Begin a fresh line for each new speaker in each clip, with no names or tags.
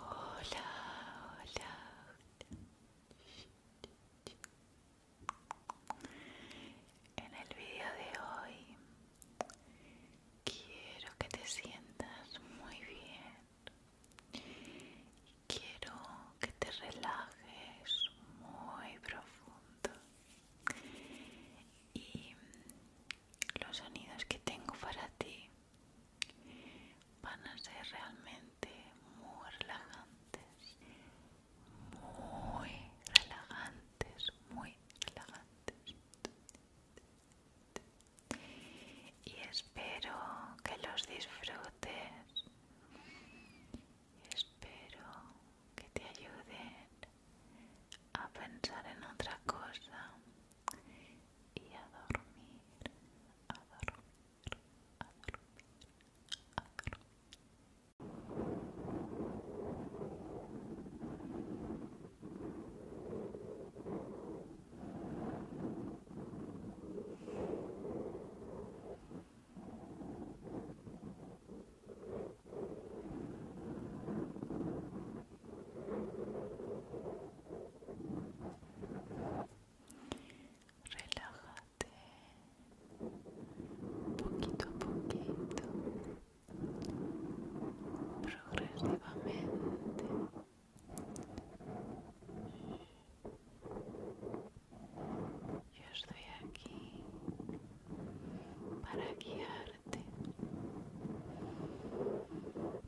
Hola, hola, En el vídeo de hoy quiero que te sientas muy bien. quiero que te relajes muy profundo. Y los sonidos que tengo para ti van a ser realmente muy relajantes, muy relajantes, muy relajantes. Y espero que los disfrutes. Espero que te ayuden a pensar en otra cosa y a dormir, a dormir, a dormir, a dormir. Relájate poquito a poquito, progresivamente. Yo estoy aquí para guiarte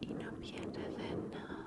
y no pierdes de nada.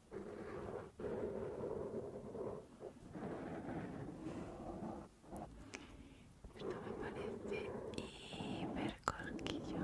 Esto me parece hiper corquillo.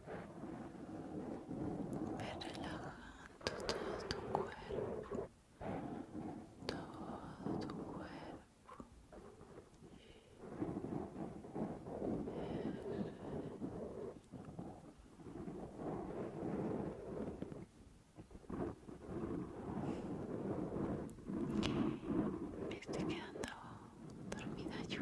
relajando todo tu cuerpo, todo tu cuerpo. Me estoy quedando dormida yo.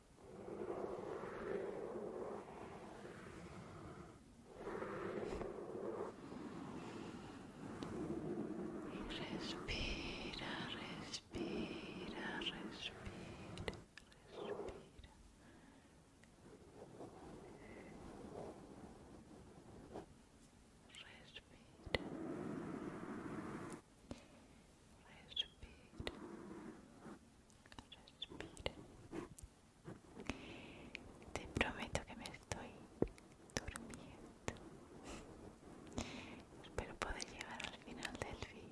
Respira, respira, respira, respira. Respira. Respira. Respira. Te prometo que me estoy durmiendo. Espero poder llegar al final del fin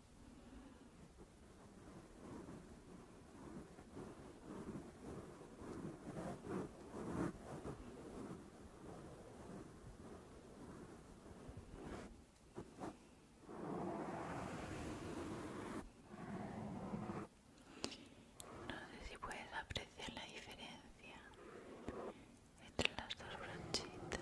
No sé si puedes apreciar la diferencia entre las dos brochitas.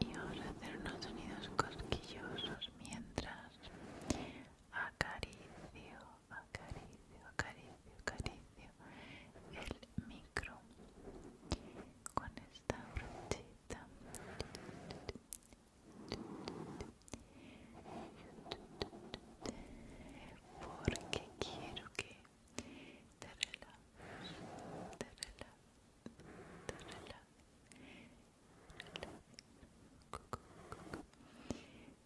Y ahora hacer unos sonidos cosquillosos mientras acaricio acaricio, acaricio, acaricio el micro con esta brochita porque quiero que te relajes, te relajes, te relajes,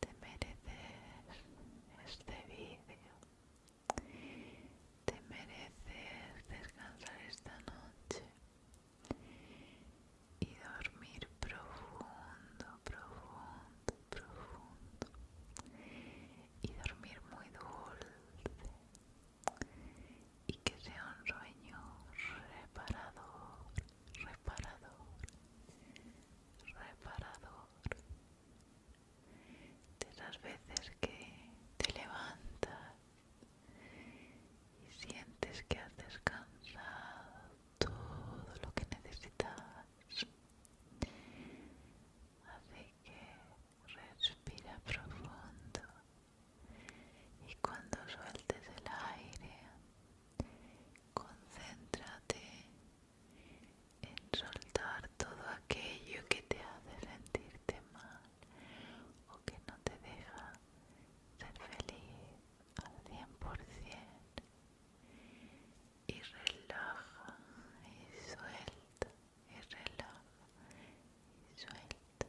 Te mereces este vídeo. Te mereces descansar esta noche y dormir profundo, profundo, profundo. Y dormir muy dulce, y que sea un sueño reparador, reparador, reparador. De las veces que te levantas y sientes que has descansado todo lo que necesitas. Así que respira profundo y cuando sueltes el aire concéntrate en soltar todo aquello que te hace sentirte mal o que no te deja ser feliz al 100% y relaja y suelta y relaja y suelta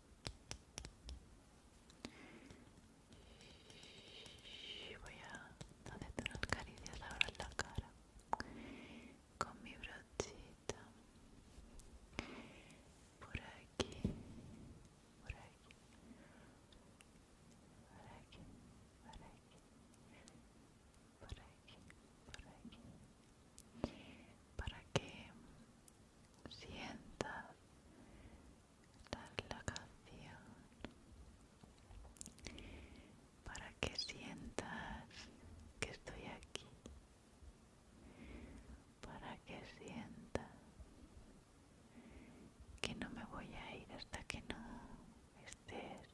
y voy a hacerte unas ahora en la cara con mi brochita por aquí por aquí por aquí por aquí por aquí, por aquí para que sientas la canción para que sientas que estoy aquí para que sientas que no me voy a ir hasta que no estés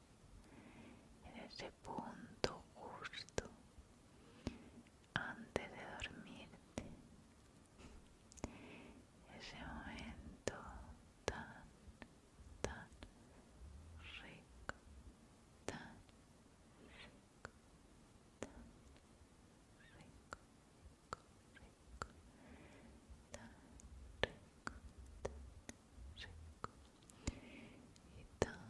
en ese punto justo antes de dormirte ese momento tan tan rico tan rico tan rico rico tan rico tan rico y tan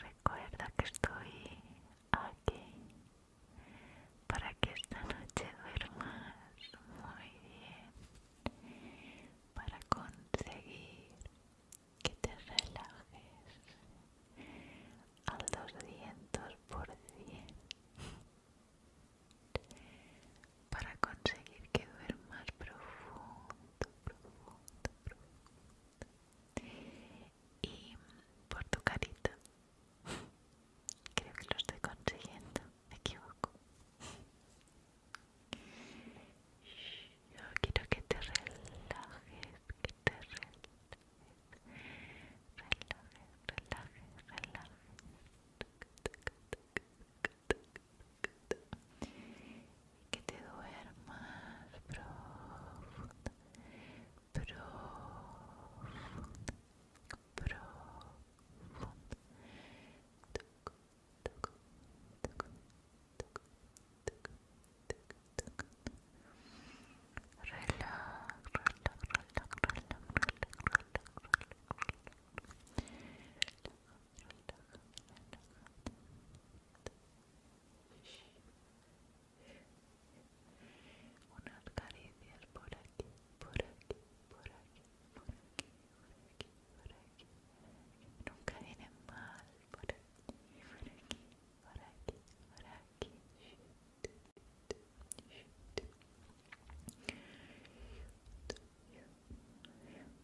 Recuerda que estoy aquí para que esta noche duermas muy bien, para conseguir que te relajes al 200%, para conseguir que duermas profundo, profundo, y por tu carita. Creo que lo estoy consiguiendo, me equivoco. Yo quiero que te relajes, que te relajes. Relajes, relajes, relajes que te duermas profundo profundo Unas caricias por aquí, por aquí, por aquí, por aquí, por aquí, por aquí. Nunca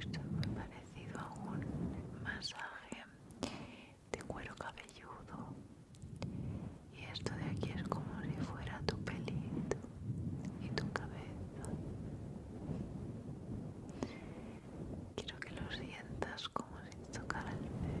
Esto es muy parecido a un masaje de cuero cabelludo. Y esto de aquí es como si fuera tu pelito y tu cabeza. Quiero que lo sientas como si tocara el pelo.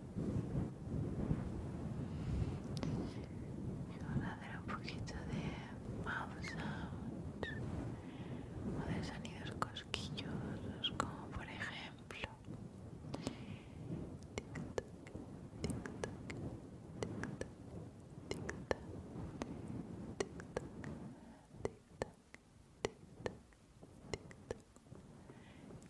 y a dará un poquito de mouth sound o de sonidos cosquillosos como por ejemplo tic tac tic tac tic tac tic tac tic tac tic tac tic tac tic tac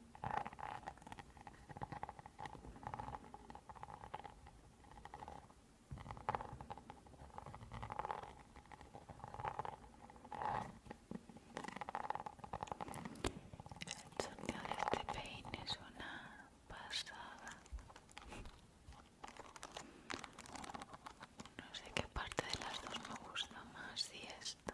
El sonido de este peine es una pasada. No sé qué parte de las dos me gusta más, si esta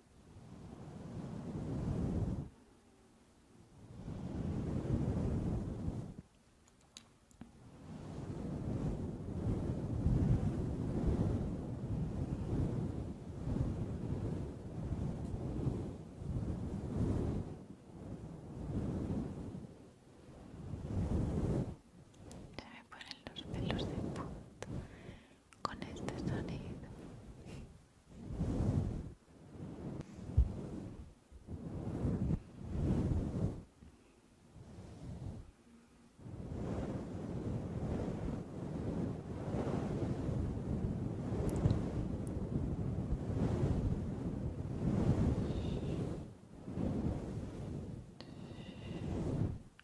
Se me ponen los pelos de punta con este sonido.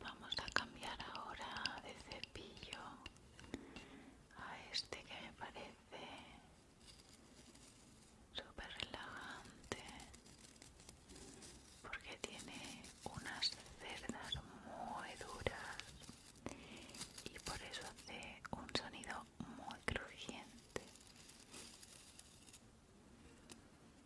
Vamos a cambiar ahora de cepillo a este que me parece súper relajante porque tiene unas cerdas muy duras y por eso hace un sonido muy crujiente.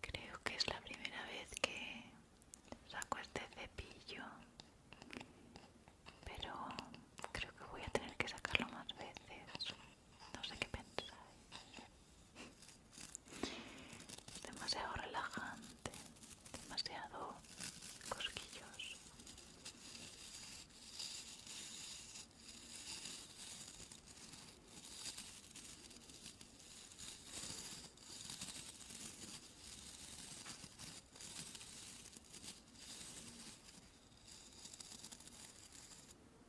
Creo que es la primera vez que saco este cepillo, pero creo que voy a tener que sacarlo más veces. No sé qué pensáis. Demasiado relajante, demasiado cosquillos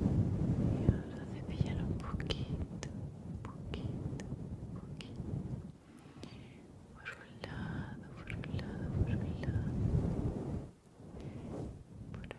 Y vamos un poquito, un poquito, un poquito. Por un lado, por un lado, por un lado. Por aquí.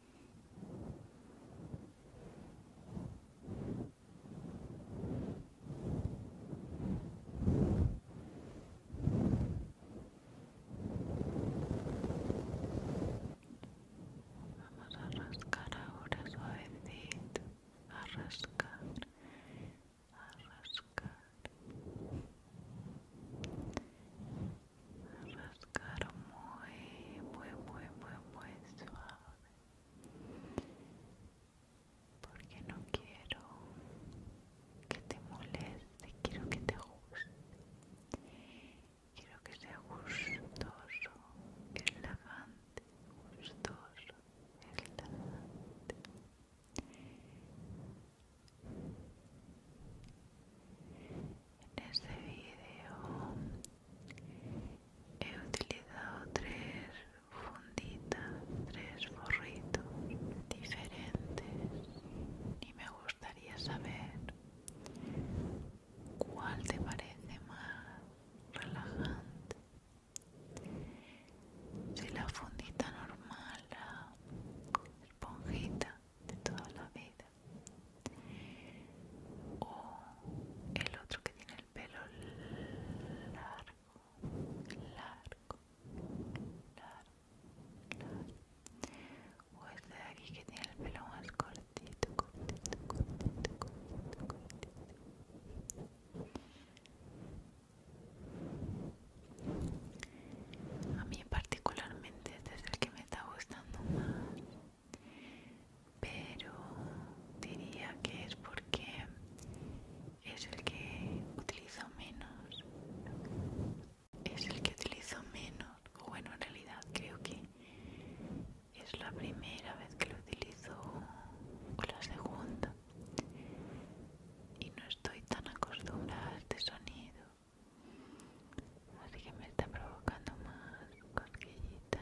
Vamos a rascar ahora suavecito, a rascar, a rascar, buscar muy, muy, muy, muy, muy suave porque no quiero que te moleste, quiero que te guste quiero que sea gustoso, lagante, gustoso, relajante en este vídeo he utilizado tres funditas, tres forritos diferentes y me gustaría saber cuál te parece más relajante. Si la fundita normal, la esponjita de toda la vida o el otro que tiene el pelo largo, largo, largo, largo. O este de aquí que tiene el pelo más cortito, cortito, cortito, cortito, cortito. A mí particularmente este es el que me está gustando más pero diría que es porque es el que utilizo menos es el que utilizo menos bueno en realidad creo que es la primera vez que lo utilizo o la segunda y no estoy tan acostumbrada a este sonido así que me está provocando más cosquillitas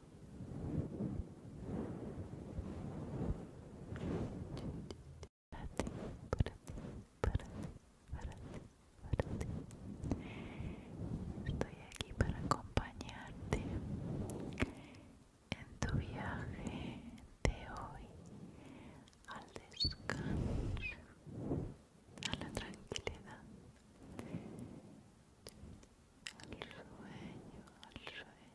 para ti, para ti, para ti, para ti, para ti. Estoy aquí para acompañarte en tu viaje de hoy al descanso, a la tranquilidad, al sueño, al sueño,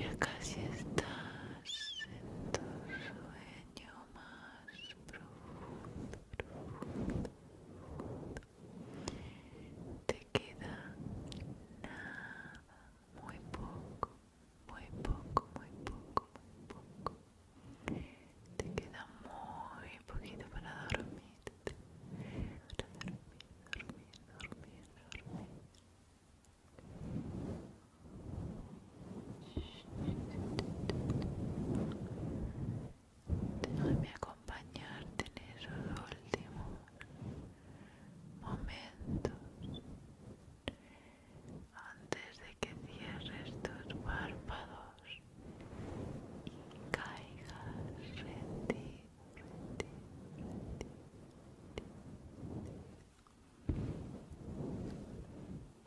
Ya casi estás en tu sueño te queda nada muy poco muy poco muy poco muy poco te queda muy poquito para dormir para dormir dormir dormir dormir Déjame acompañarte en esos últimos momentos antes de que cierres tus párpados y caigas en en ti, en ti,